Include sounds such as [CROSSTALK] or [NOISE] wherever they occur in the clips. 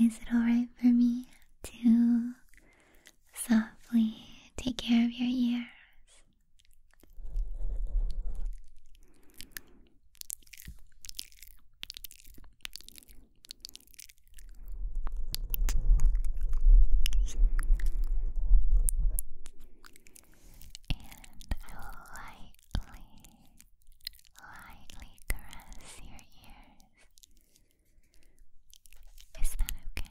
Is it alright for me to softly take care of your ears? I will lightly, lightly caress your ears. Is that okay?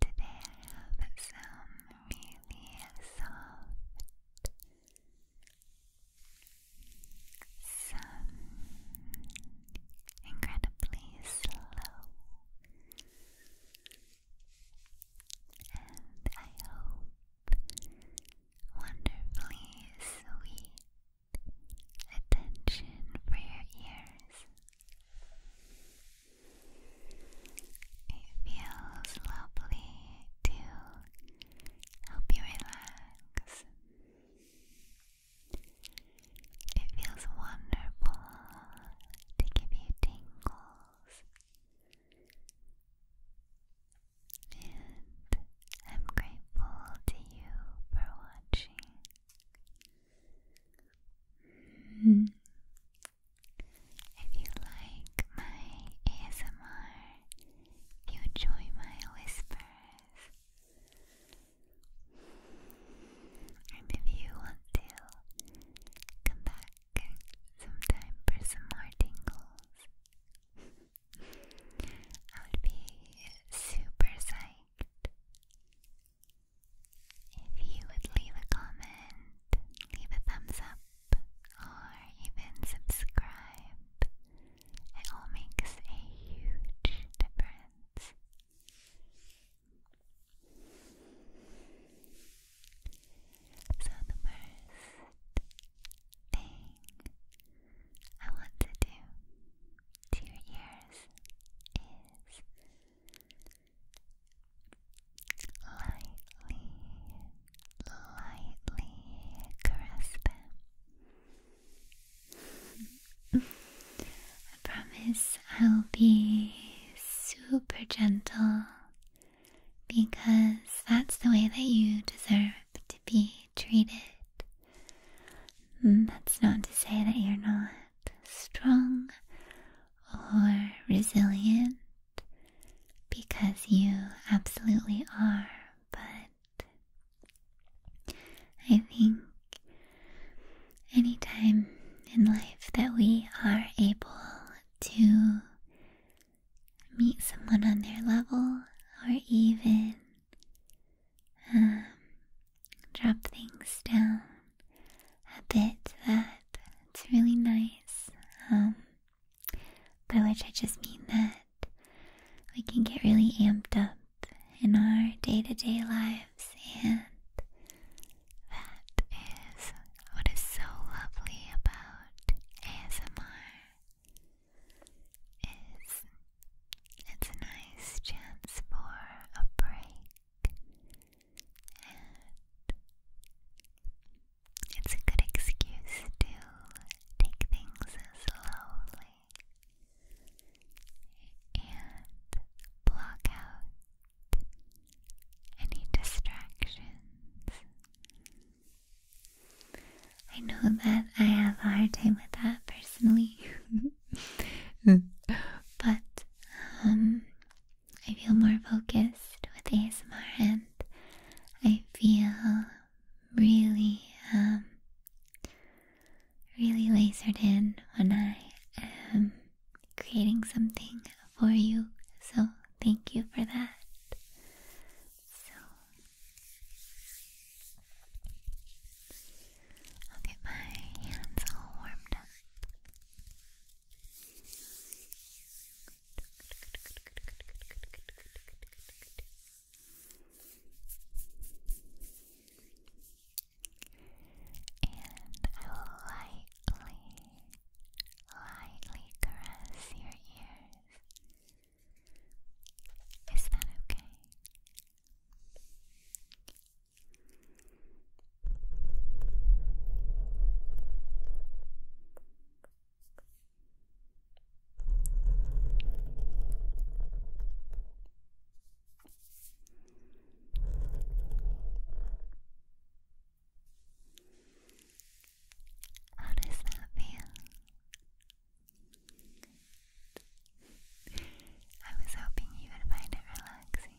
Today I have some really soft, some incredibly slow, and I hope wonderfully sweet attention for your ears. It feels lovely to help you relax. It feels wonderful to give you tingles. And I'm grateful to you for watching. Hmm. If you like my ASMR, you enjoy my whispers, and if you want to come back sometime for some more tingles, I would be super psyched. If you would leave a comment, leave a thumbs up, or even subscribe, it all makes a huge difference. So, the first thing I want to do to your ears is lightly, lightly caress [LAUGHS] them. I promise I'll be super gentle because that's the way that you deserve to be treated. Mm, that's not to say that you're not strong or resilient because you absolutely are, but I think any time in life that we are able to meet someone on their level or even um, drop things down a bit that it's really nice. Um, by which I just mean that we can get really amped up in our day to day lives, and that is what is so lovely about ASMR. Is it's a nice chance for a break, it's a good excuse to take things slowly and block out any distractions. I know that I have a hard time with that personally. [LAUGHS] but um, I feel more focused with ASMR and I feel really, um, really lasered in when I am creating something for you. So, thank you for that. So, I'll get my hands all warmed up. I will lightly, lightly caress your ears. Is that okay? How does that feel? I was hoping you would find it relaxing.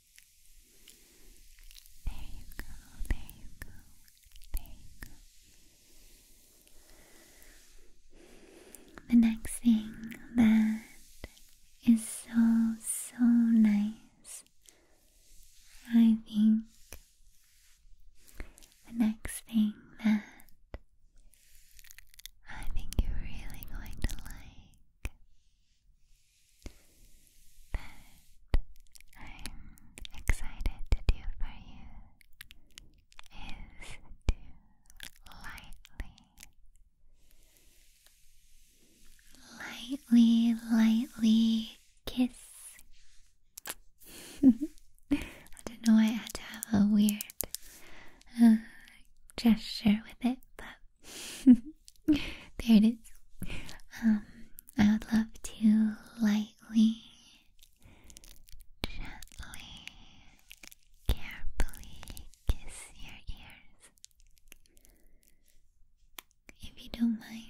There you go, there you go, there you go. The next thing that is so, so nice, I think. The next thing that I think you're really going to like that I'm excited to do for you is to lightly, lightly, lightly kiss. [LAUGHS] I don't know why I had to have a weird uh, gesture with it, but. [LAUGHS] [LAUGHS] there it is. Um, I would love to lightly, gently, carefully kiss your ears. If you don't mind.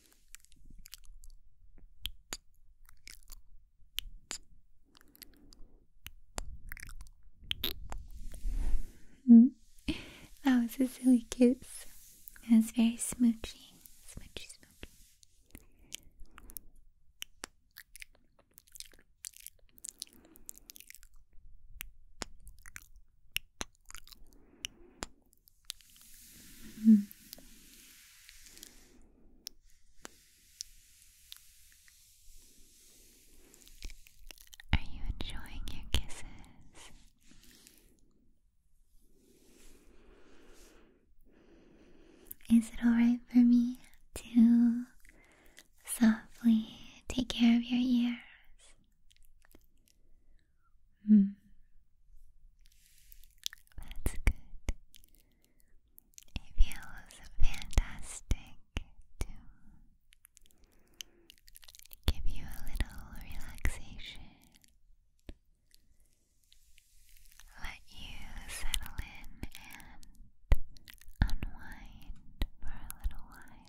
Mm. That was a silly kiss. It was very smoochy. Smoochy, smoochy. Hmm. Are you enjoying your kisses? Is it alright for me to softly take care of your ears? Hmm. That's good. It feels fantastic to give you a little relaxation. Let you settle in and unwind for a little while.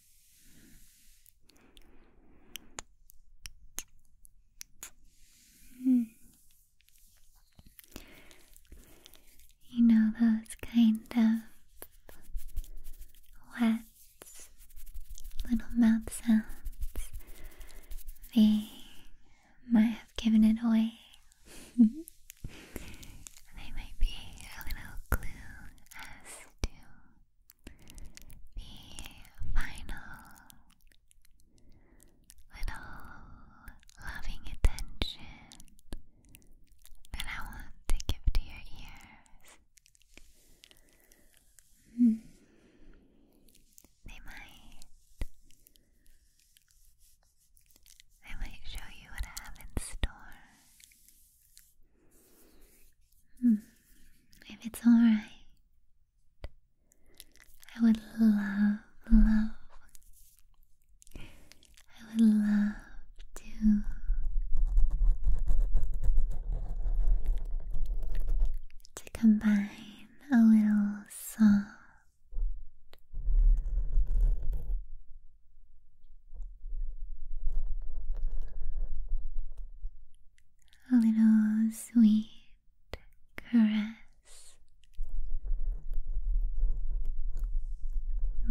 Hmm. You know those kind of wet little mouth sounds? They might have given it away. [LAUGHS] they might be a little clue as to the final little loving attention that I want to give to your ears. Mm. might. I might show you what I have in store. Hmm. If it's alright, I would love, love, I would love to to combine a little song a little sweet caress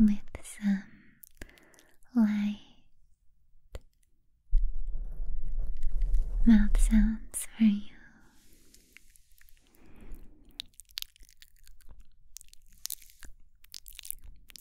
with some light mouth sounds for you.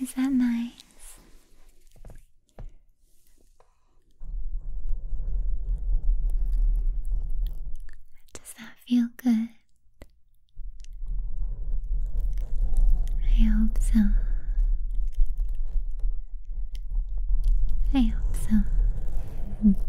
Is that nice? Does that feel good? I hope so. I hope so. I hope so.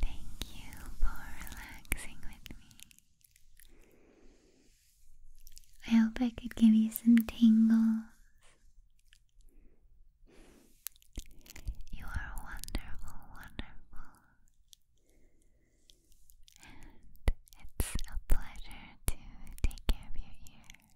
Thank you for relaxing with me. I hope I could give you some tingles. You are wonderful, wonderful. And it's a pleasure to take care of your ears.